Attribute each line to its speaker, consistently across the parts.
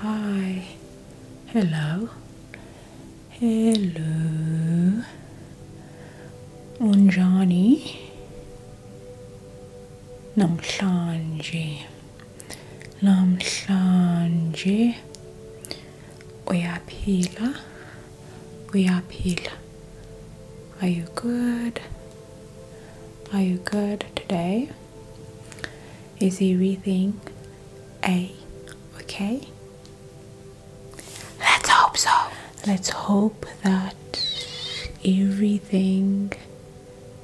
Speaker 1: Hi. Hello. Hello. Unjani. Namhlanje. Namhlanje. Uyaphila. pila. Are you good? Are you good today? is everything A. Okay? Let's hope so. Let's hope that everything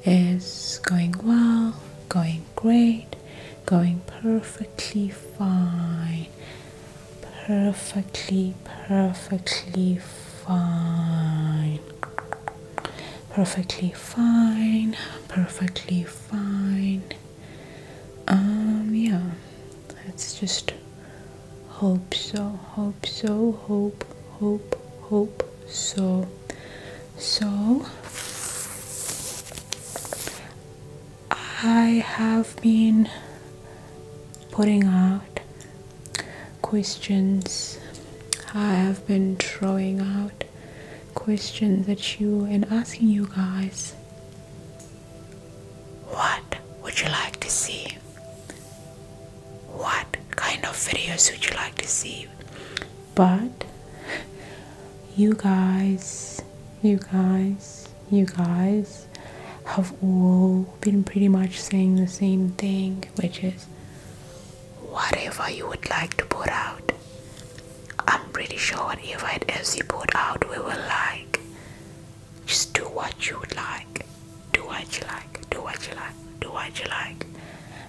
Speaker 1: is going well, going great, going perfectly fine. Perfectly, perfectly fine perfectly fine, perfectly fine. Um, yeah, let's just hope so, hope so, hope, hope, hope so. So, I have been putting out questions, I have been throwing out questions that you and asking you guys what would you like to see? What kind of videos would you like to see? But you guys, you guys, you guys have all been pretty much saying the same thing, which is whatever you would like to put out. I'm pretty sure whatever it is you put out, we will like. Just do what you would like. Do what you like. Do what you like. Do what you like.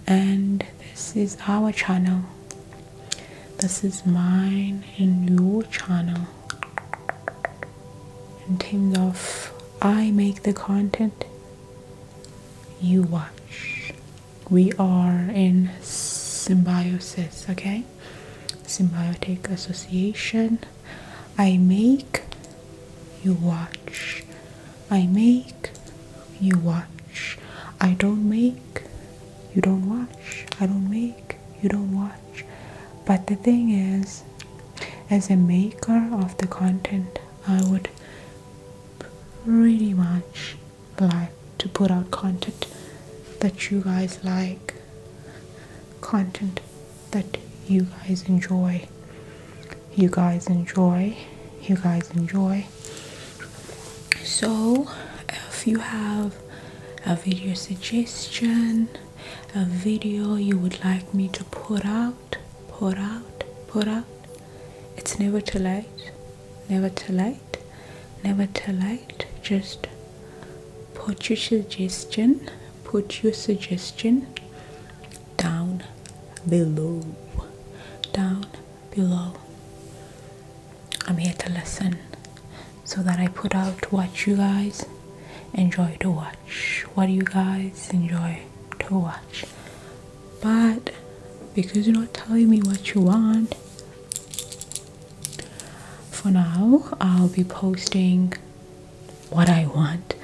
Speaker 1: And this is our channel. This is mine and your channel. In terms of I make the content, you watch we are in symbiosis okay symbiotic association i make you watch i make you watch i don't make you don't watch i don't make you don't watch but the thing is as a maker of the content i would pretty much live to put out content that you guys like, content that you guys enjoy. You guys enjoy, you guys enjoy. So, if you have a video suggestion, a video you would like me to put out, put out, put out, it's never too late never too late. never too late. just put your suggestion put your suggestion down below down below i'm here to listen so that i put out what you guys enjoy to watch what you guys enjoy to watch but because you're not telling me what you want for now i'll be posting what i want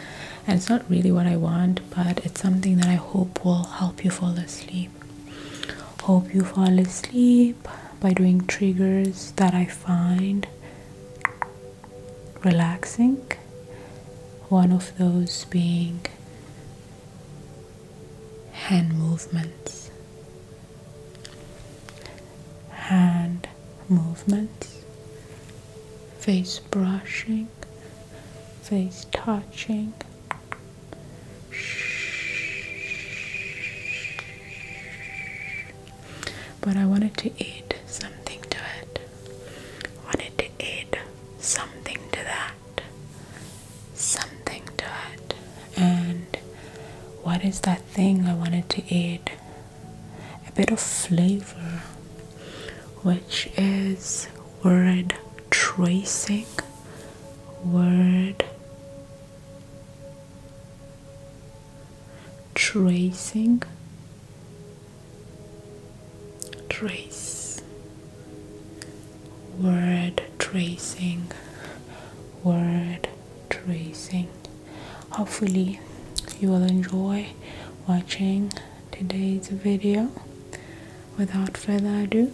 Speaker 1: and it's not really what i want but it's something that i hope will help you fall asleep hope you fall asleep by doing triggers that i find relaxing one of those being hand movements. Hand movements, face brushing, face touching. But I wanted to add something to it. Wanted to add something to that something to it. And what is that thing I wanted to add? A bit of flavor, which is word tracing, word tracing, trace word tracing word tracing hopefully you will enjoy watching today's video without further ado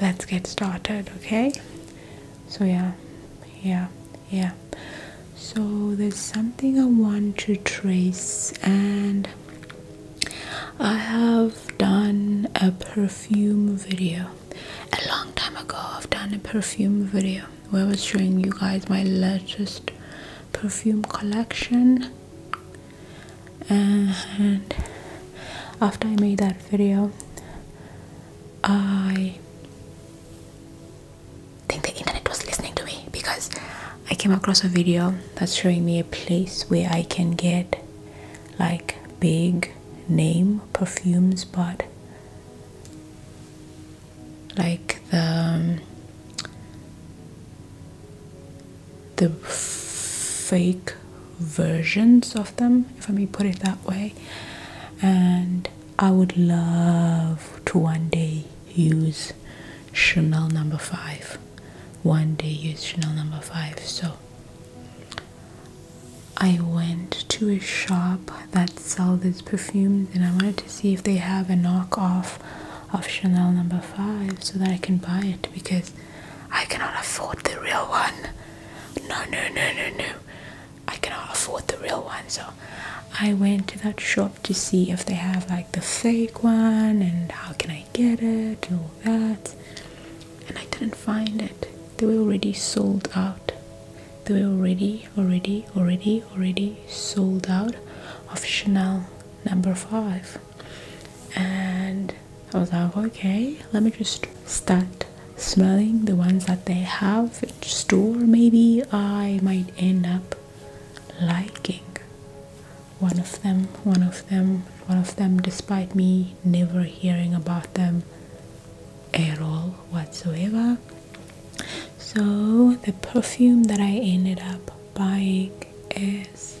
Speaker 1: let's get started okay so yeah yeah yeah so there's something i want to trace and I have done a perfume video a long time ago. I've done a perfume video where I was showing you guys my latest perfume collection, and after I made that video, I think the internet was listening to me because I came across a video that's showing me a place where I can get like big name perfumes, but like the um, the fake versions of them, if I may put it that way, and I would love to one day use Chanel number five one day use Chanel number 5 so I went to a shop that sell these perfumes and I wanted to see if they have a knock off of Chanel number 5 so that I can buy it because I cannot afford the real one no no no no no I cannot afford the real one so I went to that shop to see if they have like the fake one and how can I I get it, all that. And I didn't find it. They were already sold out. They were already, already, already, already sold out of Chanel number five. And I was like, okay, let me just start smelling the ones that they have in store. Maybe I might end up liking one of them, one of them, one of them, despite me never hearing about them at all whatsoever. So, the perfume that I ended up buying is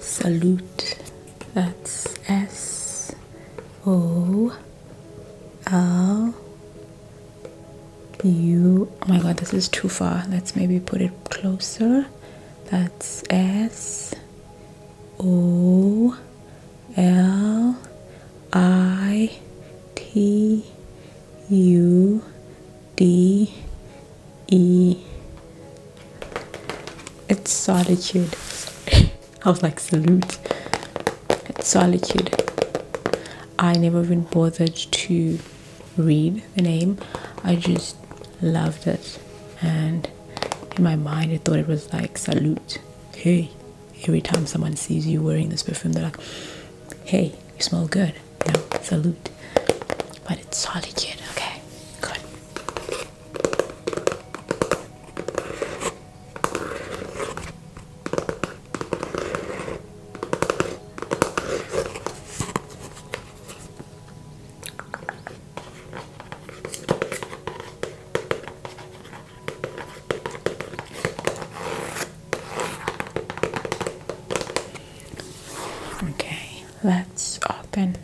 Speaker 1: Salute. That's S O L U. Oh my god, this is too far. Let's maybe put it closer. That's S O L I T U D E. It's solitude. I was like, salute. It's solitude. I never even bothered to read the name. I just loved it. And in my mind, I thought it was like, salute. Hey, every time someone sees you wearing this perfume, they're like, hey, you smell good. You salute. But it's solitude. Okay, good. Okay, let's open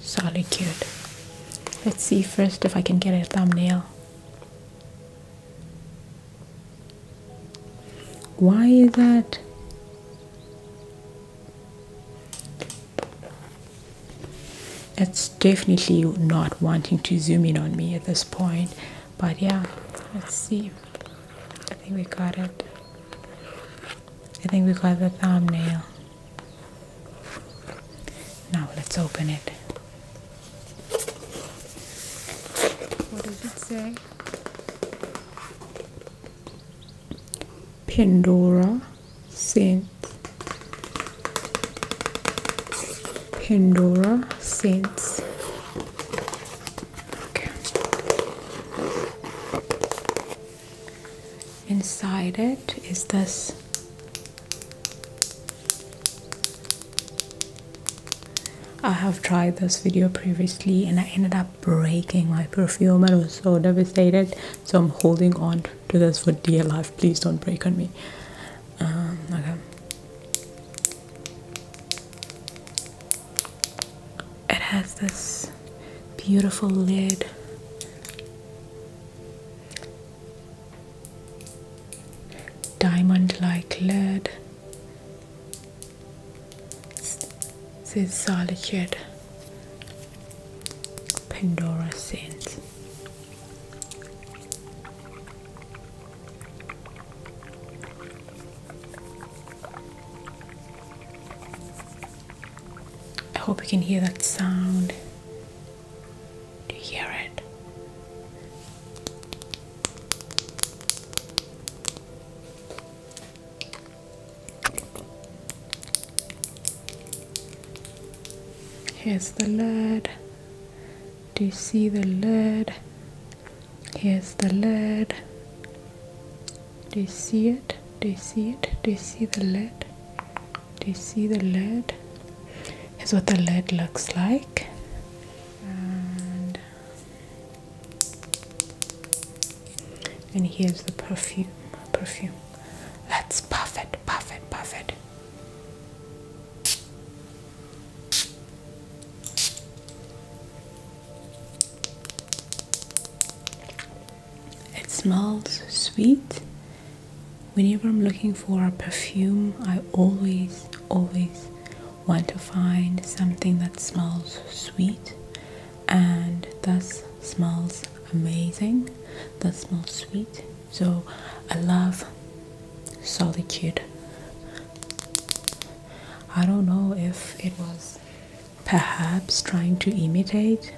Speaker 1: solitude. Let's see first if I can get a thumbnail. Why is that? It's definitely not wanting to zoom in on me at this point, but yeah, let's see. I think we got it. I think we got the thumbnail. Now let's open it. What does it say? Pandora scent. Pandora scents. Okay. Inside it is this I have tried this video previously and I ended up breaking my perfume. I was so devastated. So I'm holding on to this for dear life. Please don't break on me. Um, okay it has this beautiful lid. Diamond like lid. This is solitude. Pandora scent. I hope you can hear that sound. Do you hear it? Here's the lid. Do you see the lid? Here's the lid. They see it, they see it, they see the lead, they see the lead. Is what the lead looks like. And, and here's the perfume. Perfume. Let's puff it, puff it, puff it. It smells sweet. Whenever I'm looking for a perfume, I always, always want to find something that smells sweet and thus smells amazing. That smells sweet. So I love solitude. I don't know if it was perhaps trying to imitate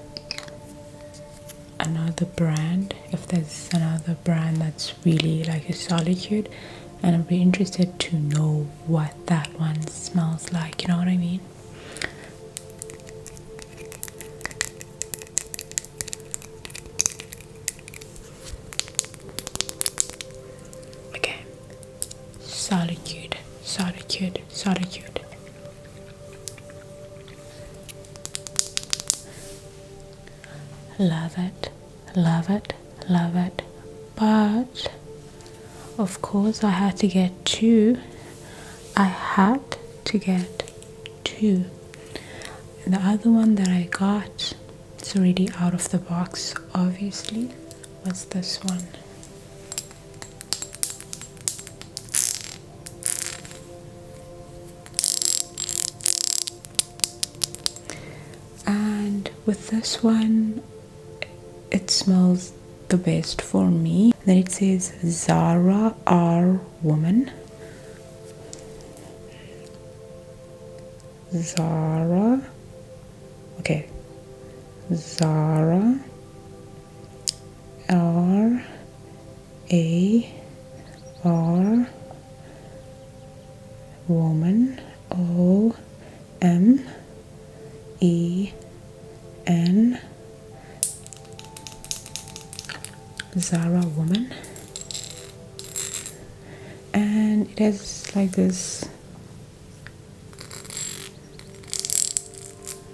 Speaker 1: another brand if there's another brand that's really like a solitude and I'd be interested to know what that one smells like, you know what I mean? Okay. Solitude, solitude, solitude. Love it, love it, love it. But of course, I had to get two. I had to get two. the other one that I got, it's already out of the box, obviously, was this one and with this one it smells the best for me then it says Zara R woman Zara okay Zara R A R woman O M E N Zara woman and it has like this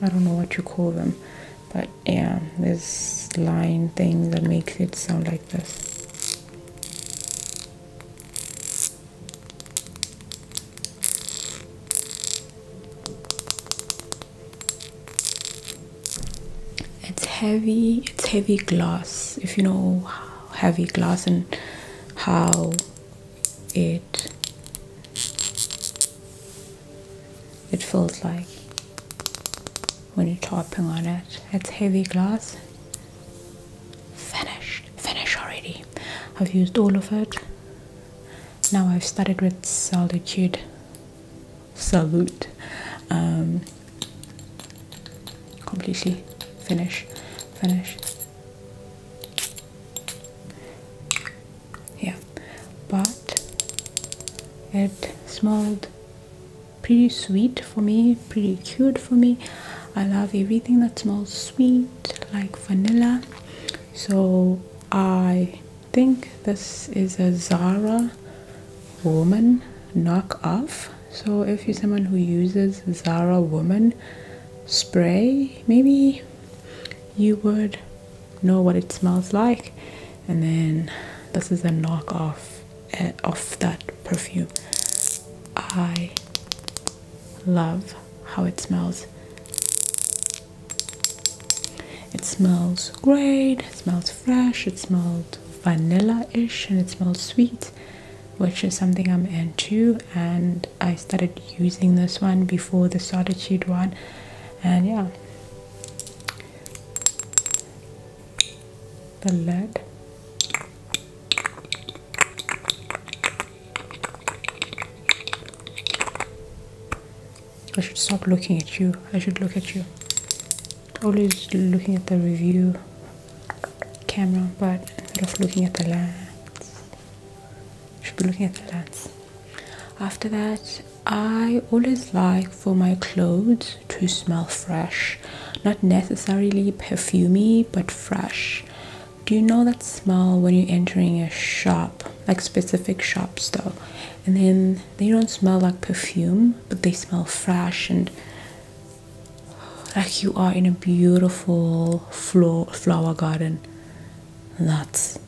Speaker 1: I don't know what you call them, but yeah, this line thing that makes it sound like this. It's heavy, it's heavy glass, if you know heavy glass and how it it feels like when you're tapping on it. It's heavy glass. Finished. Finished already. I've used all of it. Now I've started with solitude. Salute. Um, completely finish. Finish yeah but it smelled pretty sweet for me pretty cute for me i love everything that smells sweet like vanilla so i think this is a zara woman knockoff so if you're someone who uses zara woman spray maybe you would know what it smells like and then this is a knockoff eh, of that perfume i love how it smells it smells great it smells fresh it smells vanilla-ish and it smells sweet which is something i'm into and i started using this one before the solitude one and yeah the lead I should stop looking at you. I should look at you. Always looking at the review camera, but instead of looking at the lens, should be looking at the lens. After that, I always like for my clothes to smell fresh, not necessarily perfumy, but fresh. Do you know that smell when you're entering a shop, like specific shops though? And then they don't smell like perfume, but they smell fresh and like you are in a beautiful flower garden. That's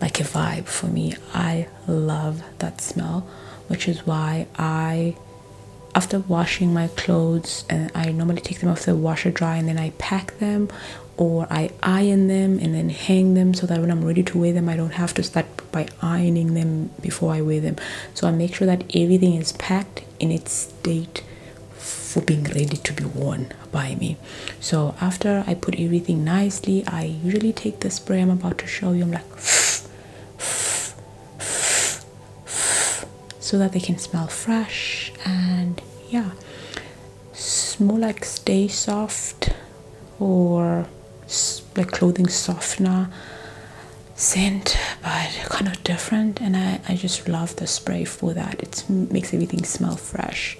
Speaker 1: like a vibe for me. I love that smell, which is why I, after washing my clothes, and I normally take them off the washer dry and then I pack them or I iron them and then hang them so that when I'm ready to wear them, I don't have to start by ironing them before I wear them. So I make sure that everything is packed in its state for being ready to be worn by me so after i put everything nicely i usually take the spray i'm about to show you i'm like so that they can smell fresh and yeah smell like stay soft or like clothing softener scent but kind of different and i i just love the spray for that it makes everything smell fresh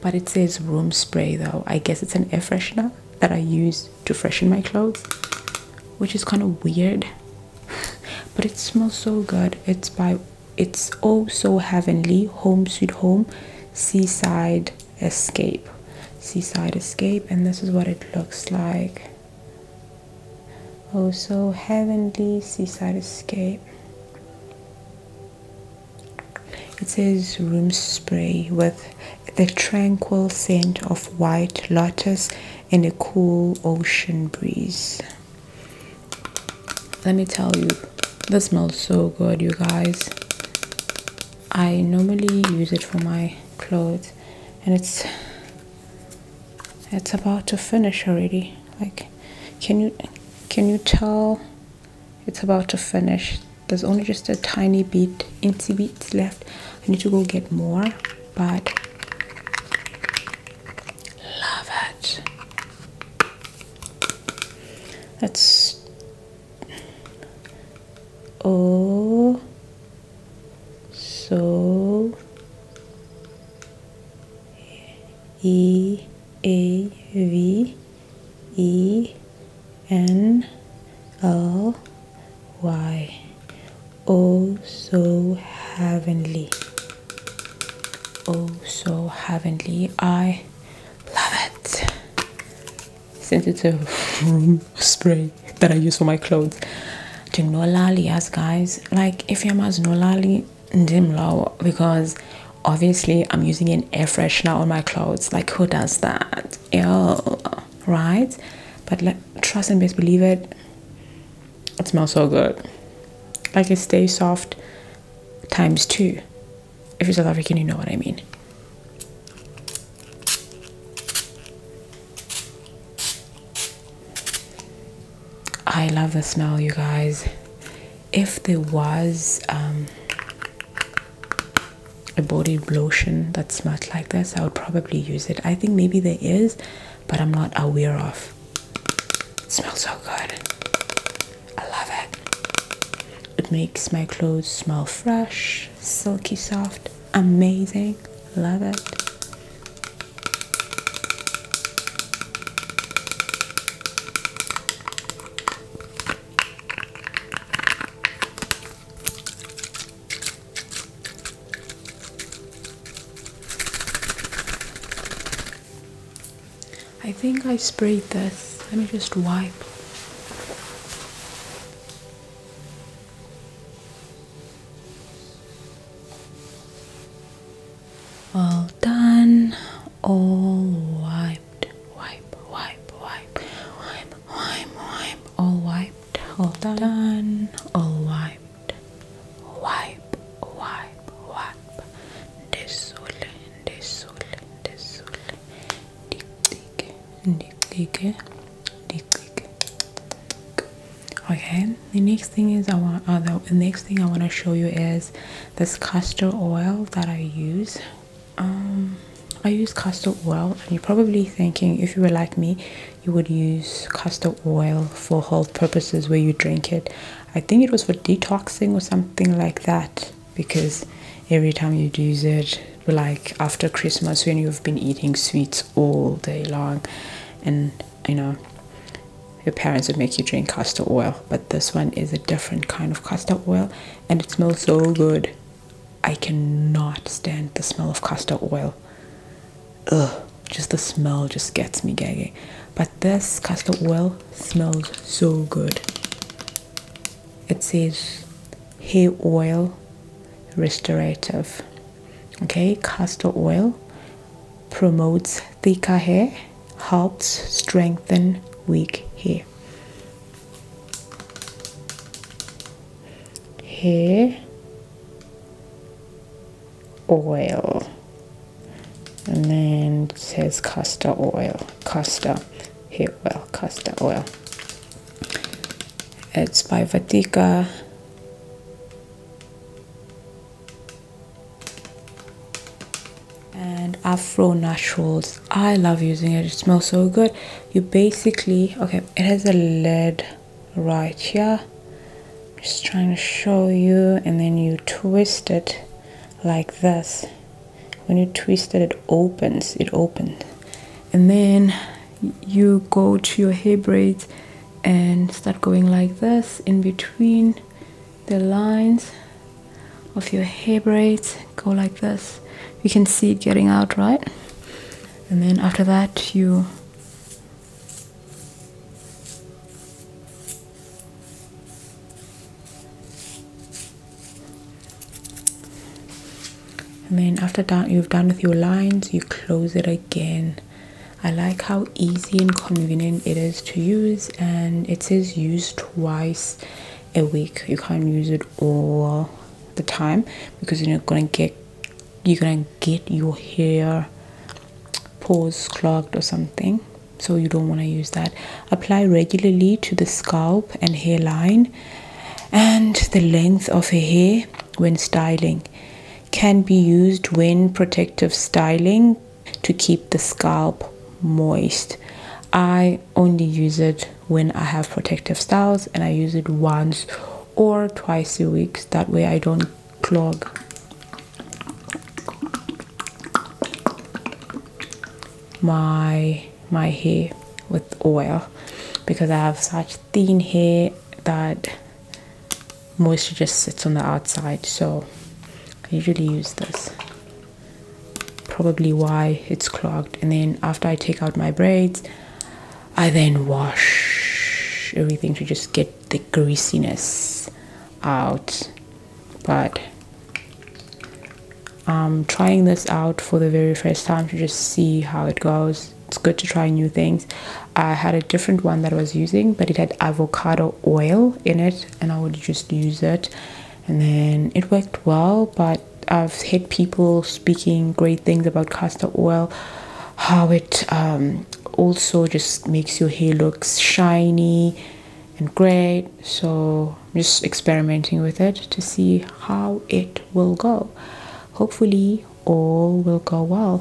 Speaker 1: but it says room spray though i guess it's an air freshener that i use to freshen my clothes which is kind of weird but it smells so good it's by it's oh so heavenly home sweet home seaside escape seaside escape and this is what it looks like oh so heavenly seaside escape it says room spray with the tranquil scent of white lotus and a cool ocean breeze. Let me tell you, that smells so good, you guys. I normally use it for my clothes, and it's it's about to finish already. Like, can you can you tell it's about to finish there's only just a tiny bit incy bits left i need to go get more but love it that's oh so e a v E N L Y. Oh, so heavenly. Oh, so heavenly. I love it. Since it's a room spray that I use for my clothes. To Nolali, yes, guys. Like, if you're no Nolali, dim low because obviously I'm using an air freshener on my clothes. Like who does that? Ew, right? But like, trust and best believe it. It smells so good. Like it stays soft times two. If you're South African, you know what I mean. I love the smell, you guys if there was um, a body lotion that smelled like this, I would probably use it. I think maybe there is, but I'm not aware of. It smells so good. I love it. It makes my clothes smell fresh, silky soft, amazing. Love it. I think I sprayed this. Let me just wipe. All done, all wiped wiped, wipe, wipe, wipe, wipe, wipe, wipe, all wiped, all done, all wiped, wipe, wipe, wipe, desul, desul, desul, dick, dick, dick, Okay, the next thing is I want. Uh, the next thing I want to show you is this castor oil that I use. Um, I use castor oil, and you're probably thinking if you were like me, you would use castor oil for health purposes where you drink it. I think it was for detoxing or something like that because every time you use it, like after Christmas when you've been eating sweets all day long, and you know, your parents would make you drink castor oil but this one is a different kind of castor oil and it smells so good. I cannot stand the smell of castor oil. Ugh, just the smell just gets me gagging. But this castor oil smells so good. It says hair oil restorative. Okay, castor oil promotes thicker hair, helps strengthen weak hair here oil and then it says castor oil castor here, oil castor oil it's by Vatika and afro naturals i love using it it smells so good you basically okay it has a lid right here just trying to show you and then you twist it like this when you twist it it opens it opens and then you go to your hair braids and start going like this in between the lines of your hair braids go like this you can see it getting out right and then after that you and then after that you've done with your lines you close it again I like how easy and convenient it is to use and it says use twice a week you can't use it all the time because you're gonna get you're gonna get your hair pores clogged or something so you don't want to use that apply regularly to the scalp and hairline and the length of a hair when styling can be used when protective styling to keep the scalp moist i only use it when I have protective styles and I use it once or twice a week. That way I don't clog. my my hair with oil because I have such thin hair that moisture just sits on the outside so I usually use this probably why it's clogged and then after i take out my braids i then wash everything to just get the greasiness out but i'm um, trying this out for the very first time to just see how it goes it's good to try new things i had a different one that i was using but it had avocado oil in it and i would just use it and then it worked well but i've had people speaking great things about castor oil how it um, also just makes your hair look shiny and great so I'm just experimenting with it to see how it will go hopefully all will go well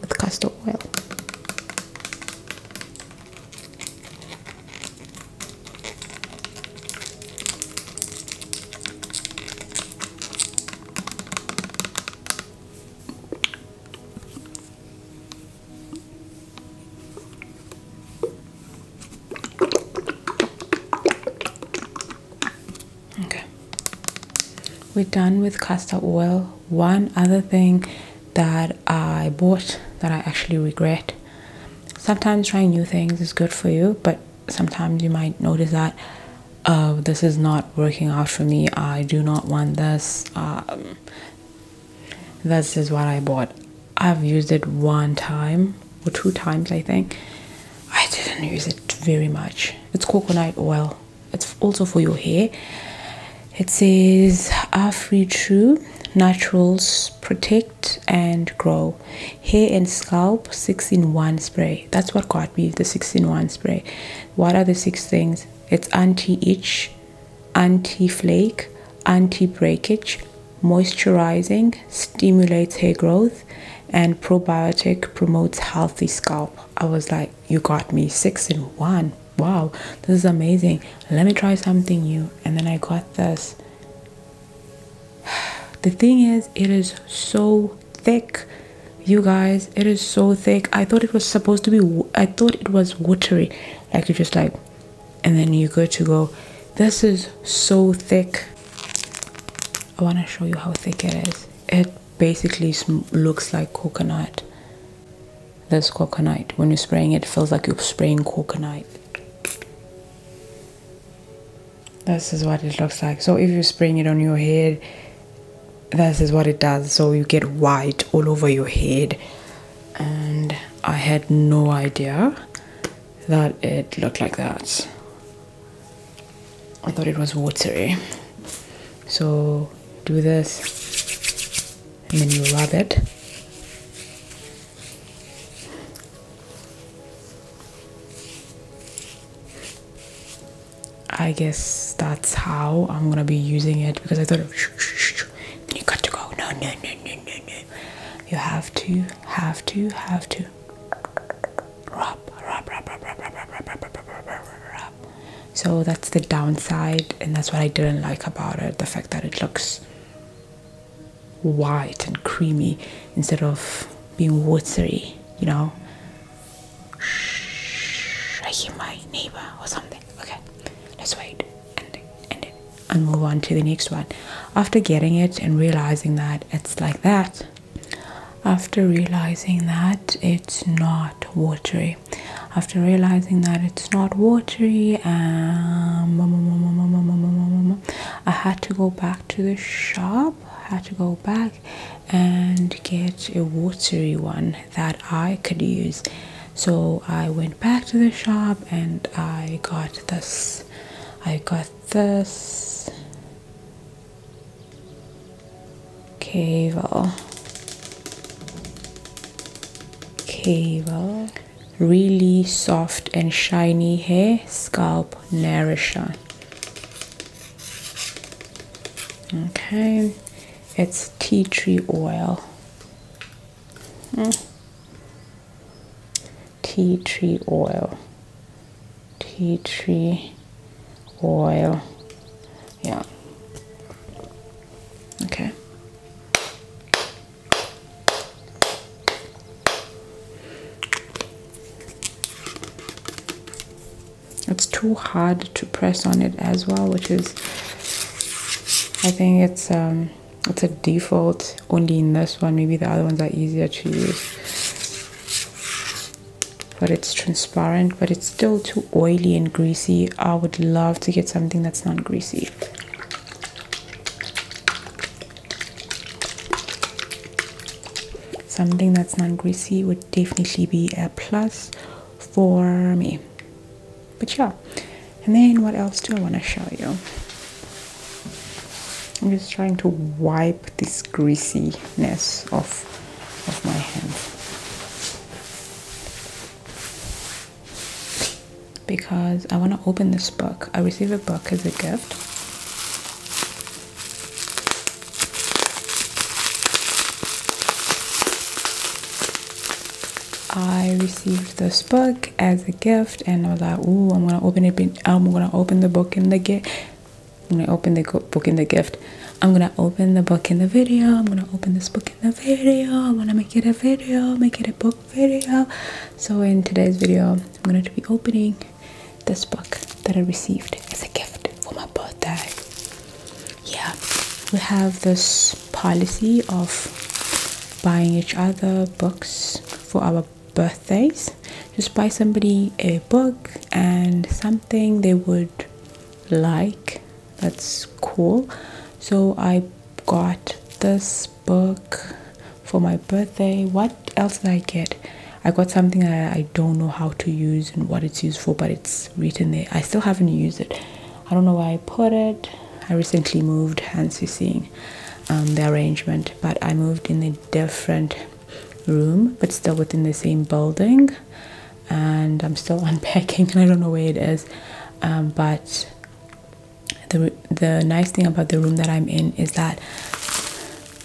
Speaker 1: with castor oil Okay, we're done with castor oil. One other thing that I bought that I actually regret sometimes trying new things is good for you, but sometimes you might notice that uh, this is not working out for me. I do not want this. Um, this is what I bought. I've used it one time or two times, I think. I didn't use it very much. It's coconut oil. It's also for your hair. It says, Are free true naturals protect and grow hair and scalp six in one spray. That's what caught me the six in one spray. What are the six things? It's anti itch, anti flake, anti breakage, moisturizing, stimulates hair growth, and probiotic promotes healthy scalp. I was like, You got me six in one. Wow, this is amazing. Let me try something new and then I got this. The thing is, it is so thick, you guys. It is so thick. I thought it was supposed to be. I thought it was watery, like you just like, and then you're good to go. This is so thick. I want to show you how thick it is. It basically looks like coconut. This coconut. When you're spraying it, it feels like you're spraying coconut. This is what it looks like. So if you're spraying it on your head, this is what it does. So you get white all over your head. And I had no idea that it looked like that. I thought it was watery. So do this and then you rub it. I guess that's how I'm gonna be using it because I thought you got to go. No, no, no, no, no, no. You have to, have to, have to. Rub, rub, rub, rub, rub, rub, rub, rub, rub, rub, rub, rub, rub. So that's the downside, and that's what I didn't like about it the fact that it looks white and creamy instead of being watery, you know. Shh, I hear my neighbor or something. Okay, let's wait and end it and move on to the next one. After getting it and realizing that it's like that, after realizing that it's not watery, after realizing that it's it's not watery and I had to go back to the shop I had to go back and get a watery one that I could use so I went back to the shop and I got this I got this cable cable really soft and shiny hair scalp nourisher okay it's tea tree oil hmm. tea tree oil tea tree oil yeah okay it's too hard to press on it as well, which is I think it's um it's a default only in this one. Maybe the other ones are easier to use. But it's transparent, but it's still too oily and greasy. I would love to get something that's not greasy. Something that's non-greasy would definitely be a plus for me. But yeah, and then what else do I want to show you? I'm just trying to wipe this greasiness off of my hands because I want to open this book. I received a book as a gift. I received this book as a gift, and I was like, "Ooh, I'm gonna open it. I'm gonna open the book in the gift. I'm gonna open the book in the gift. I'm gonna open the book in the video. I'm gonna open this book in the video. I wanna make it a video, make it a book video so in today's video i'm going to be opening this book that i received as a gift for my birthday yeah we have this policy of buying each other books for our birthdays just buy somebody a book and something they would like that's cool so i got this book for my birthday. What else did I get? I got something I, don't know how to use and what it's used for, but it's written there. I still haven't used it. I don't know why I put it. I recently moved, hence you're seeing um, the arrangement, but I moved in a different room, but still within the same building. And I'm still unpacking and I don't know where it is. Um, but the the nice thing about the room that I'm in is that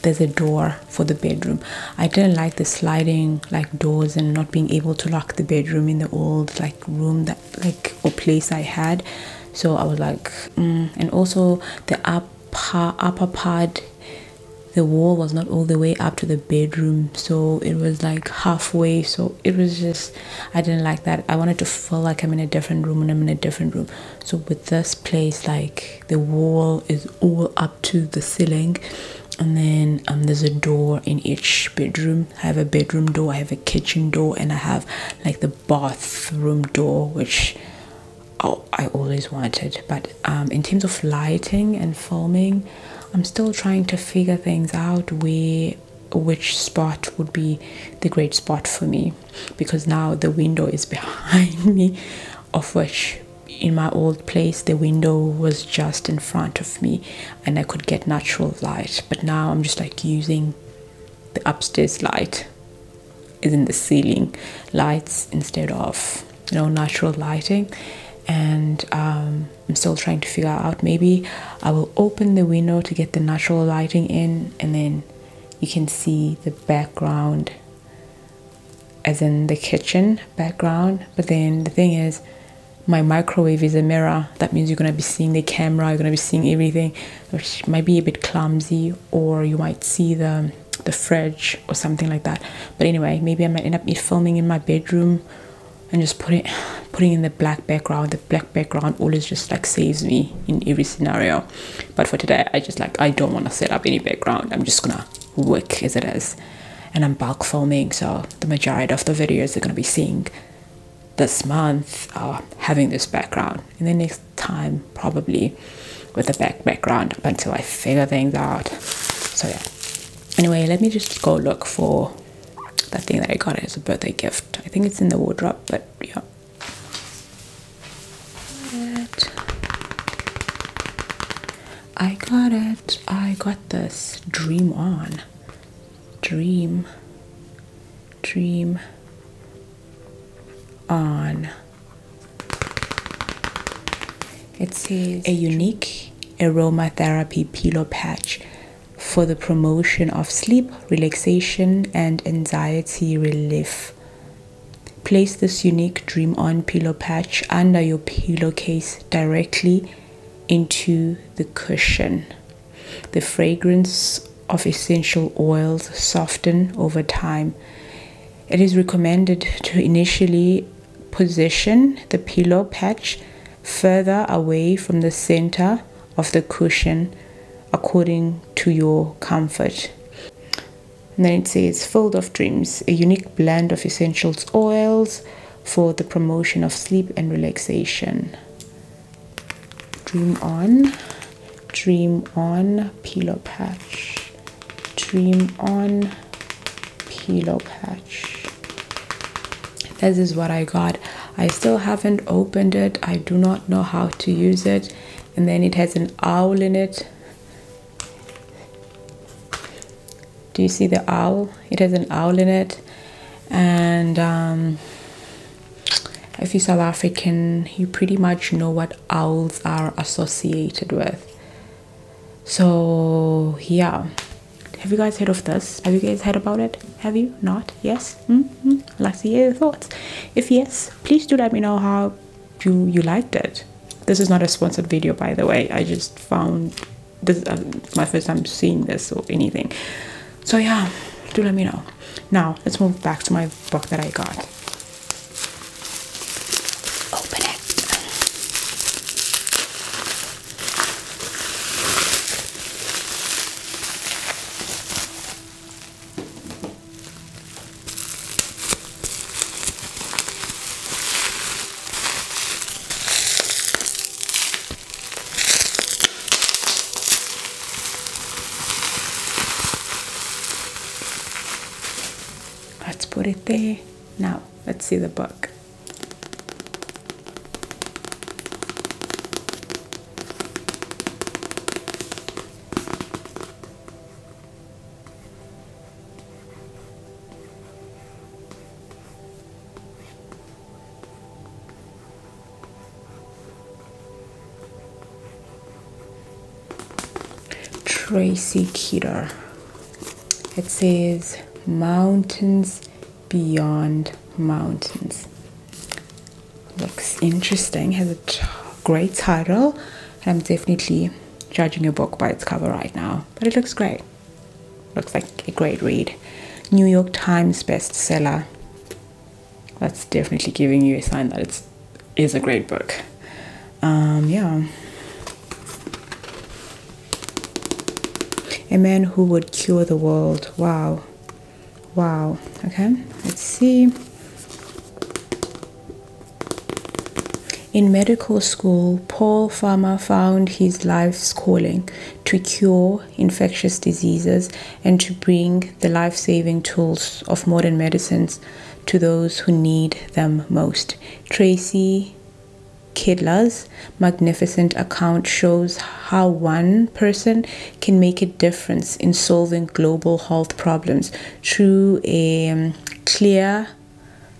Speaker 1: there's a door for the bedroom. I didn't like the sliding like doors and not being able to lock the bedroom in the old like room that like a place I had. So I was like, mm. and also the upper upper part, the wall was not all the way up to the bedroom, so it was like halfway. So it was just I didn't like that. I wanted to feel like I'm in a different room and I'm in a different room. So with this place, like the wall is all up to the ceiling, and then um, there's a door in each bedroom. I have a bedroom door, I have a kitchen door, and I have like the bathroom door, which oh, I always wanted. But um, in terms of lighting and filming, I'm still trying to figure things out where which spot would be the great spot for me because now the window is behind me, of which in my old place the window was just in front of me and I could get natural light. But now I'm just like using the upstairs light is in the ceiling lights instead of you know natural lighting and um, i'm still trying to figure out maybe i will open the window to get the natural lighting in and then you can see the background as in the kitchen background but then the thing is my microwave is a mirror that means you're going to be seeing the camera you're going to be seeing everything which might be a bit clumsy or you might see the the fridge or something like that but anyway maybe i might end up filming in my bedroom and just putting putting in the black background black background always just like saves me in every scenario but for today i just like i don't want to set up any background i'm just gonna work as it is and i'm bulk filming so the majority of the videos you are gonna be seeing this month are having this background In the next time probably with a back background up until i figure things out so yeah anyway let me just go look for the thing that i got as a birthday gift i think it's in the wardrobe but yeah I got it. I got this. Dream on. Dream. Dream on. It says a unique aromatherapy pillow patch for the promotion of sleep relaxation, and anxiety relief. Place this unique Dream On pillow patch under your pillowcase directly into the cushion. The fragrance of essential oils soften over time. It is recommended to initially position the pillow patch further away from the center of the cushion according to your comfort. then it says, Field of Dreams, a unique blend of essentials oils for the promotion of sleep and relaxation. Dream on, dream on, pillow patch, dream on, pillow patch. This is what I got. I still haven't opened it. I do not know how to use it. And then it has an owl in it. Do you see the owl? It has an owl in it. And um, if you're South African, you pretty much know what owls are associated with. So, yeah. Have you guys heard of this? Have you guys heard about it? Have you not? yes mm -hmm. i'd like to hear your thoughts if yes please do let me know how you you liked it this is not a sponsored video by the way i just found this uh, my first time seeing this or anything so yeah do let me know now let's move back to my book that i got open it Let's put it there. Now, let's see the book. Tracy Keter. It says mountains beyond mountains. Looks interesting, has a great title, I'm definitely judging a book by its cover right now, but it looks great. Looks like a great read. New York Times bestseller. That's definitely giving you a sign that it is a great book. Um, yeah. A man who would cure the world. Wow wow okay let's see in medical school paul farmer found his life's calling to cure infectious diseases and to bring the life-saving tools of modern medicines to those who need them most tracy Kidla's magnificent account shows how one person can make a difference in solving global health problems through a um, clear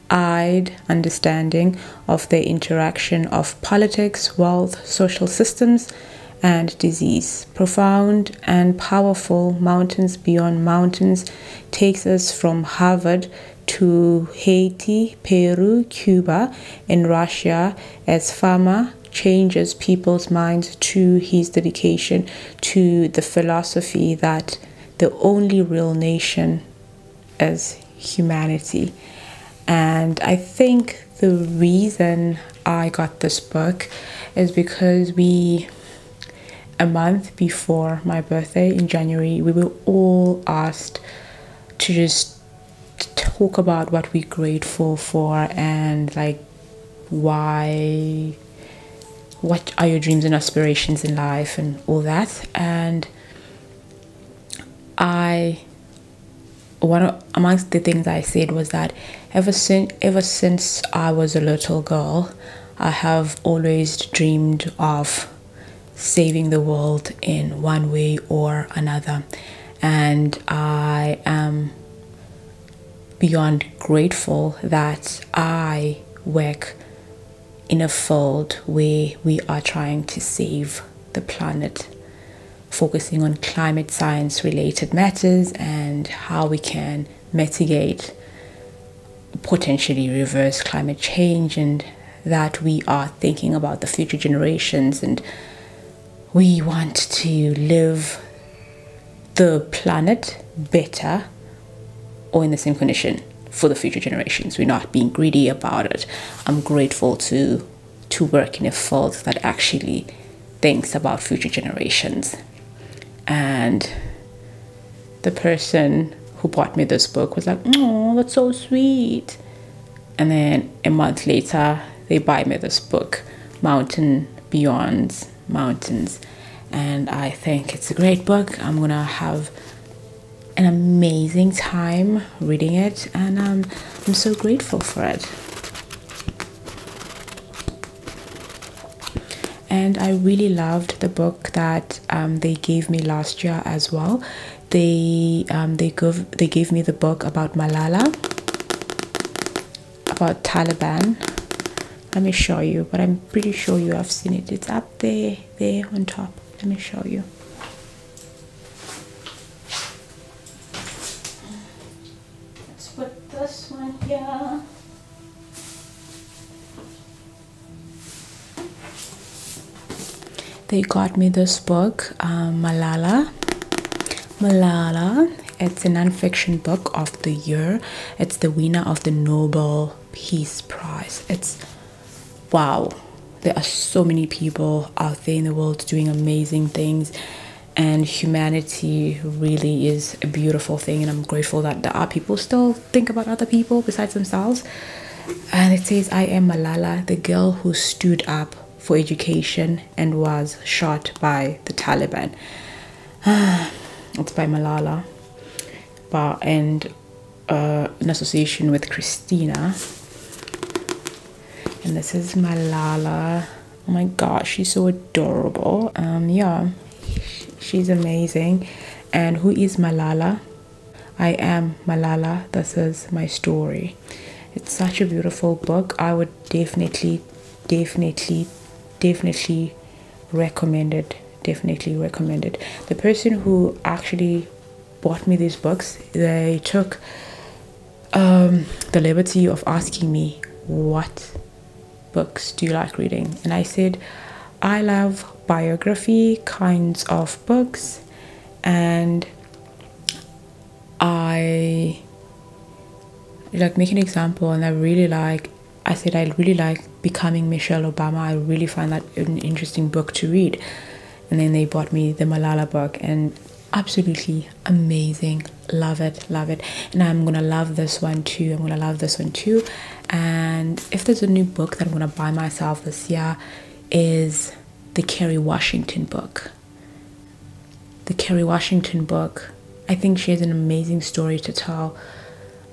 Speaker 1: eyed understanding of the interaction of politics, wealth, social systems, and disease. Profound and powerful Mountains Beyond Mountains takes us from Harvard to Haiti, Peru, Cuba, and Russia as Pharma changes people's minds to his dedication to the philosophy that the only real nation is humanity. And I think the reason I got this book is because we, a month before my birthday in January, we were all asked to just talk about what we're grateful for and like why what are your dreams and aspirations in life and all that and i one of, amongst the things i said was that ever since ever since i was a little girl i have always dreamed of saving the world in one way or another and i am beyond grateful that I work in a field where we are trying to save the planet, focusing on climate science related matters and how we can mitigate, potentially reverse climate change, and that we are thinking about the future generations and we want to live the planet better or in the same condition for the future generations. We're not being greedy about it. I'm grateful to to work in a field that actually thinks about future generations. And the person who bought me this book was like, "Oh, that's so sweet." And then a month later, they buy me this book, Mountain Beyonds mountains and i think it's a great book i'm gonna have an amazing time reading it and um, i'm so grateful for it and i really loved the book that um, they gave me last year as well they um, they gave they gave me the book about malala about Taliban let me show you but I'm pretty sure you have seen it it's up there there on top let me show you let's put this one here they got me this book uh, Malala Malala. It's a nonfiction book of the year. It's the winner of the Nobel Peace Prize. It's wow. There are so many people out there in the world doing amazing things, and humanity really is a beautiful thing. And I'm grateful that there are people still think about other people besides themselves. And it says, I am Malala, the girl who stood up for education and was shot by the Taliban. it's by Malala, but and uh, in association with Christina. And this is Malala. Oh my gosh, she's so adorable. Um, yeah, she's amazing. And who is Malala? I am Malala. This is my story. It's such a beautiful book. I would definitely, definitely, definitely recommended definitely recommended the person who actually bought me these books they took um, the liberty of asking me what books do you like reading and i said i love biography kinds of books and i like making an example and i really like I said I really like Becoming Michelle Obama. I really find that an interesting book to read. And then they bought me the Malala book and absolutely amazing. Love it, love it. And I'm gonna love this one too. I'm gonna love this one too. And if there's a new book that I'm gonna buy myself this year is the Kerry Washington book. The Kerry Washington book I think she has an amazing story to tell.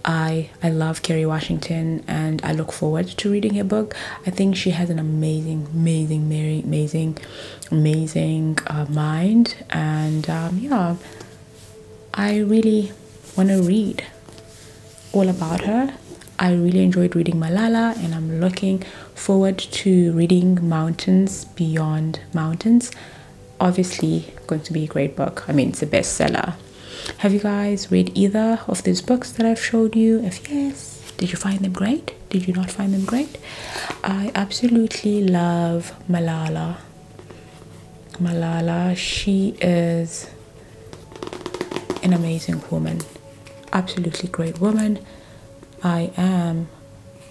Speaker 1: I I love Kerry Washington and I look forward to reading her book. I think she has an amazing, amazing, amazing, amazing uh, mind, and um, yeah, I really want to read all about her. I really enjoyed reading Malala, and I'm looking forward to reading Mountains Beyond Mountains obviously going to be a great book. I mean, it's a bestseller. Have you guys read either of these books that I've showed you? If yes, did you find them great? Did you not find them great? I absolutely love Malala. Malala, she is an amazing woman, absolutely great woman. I am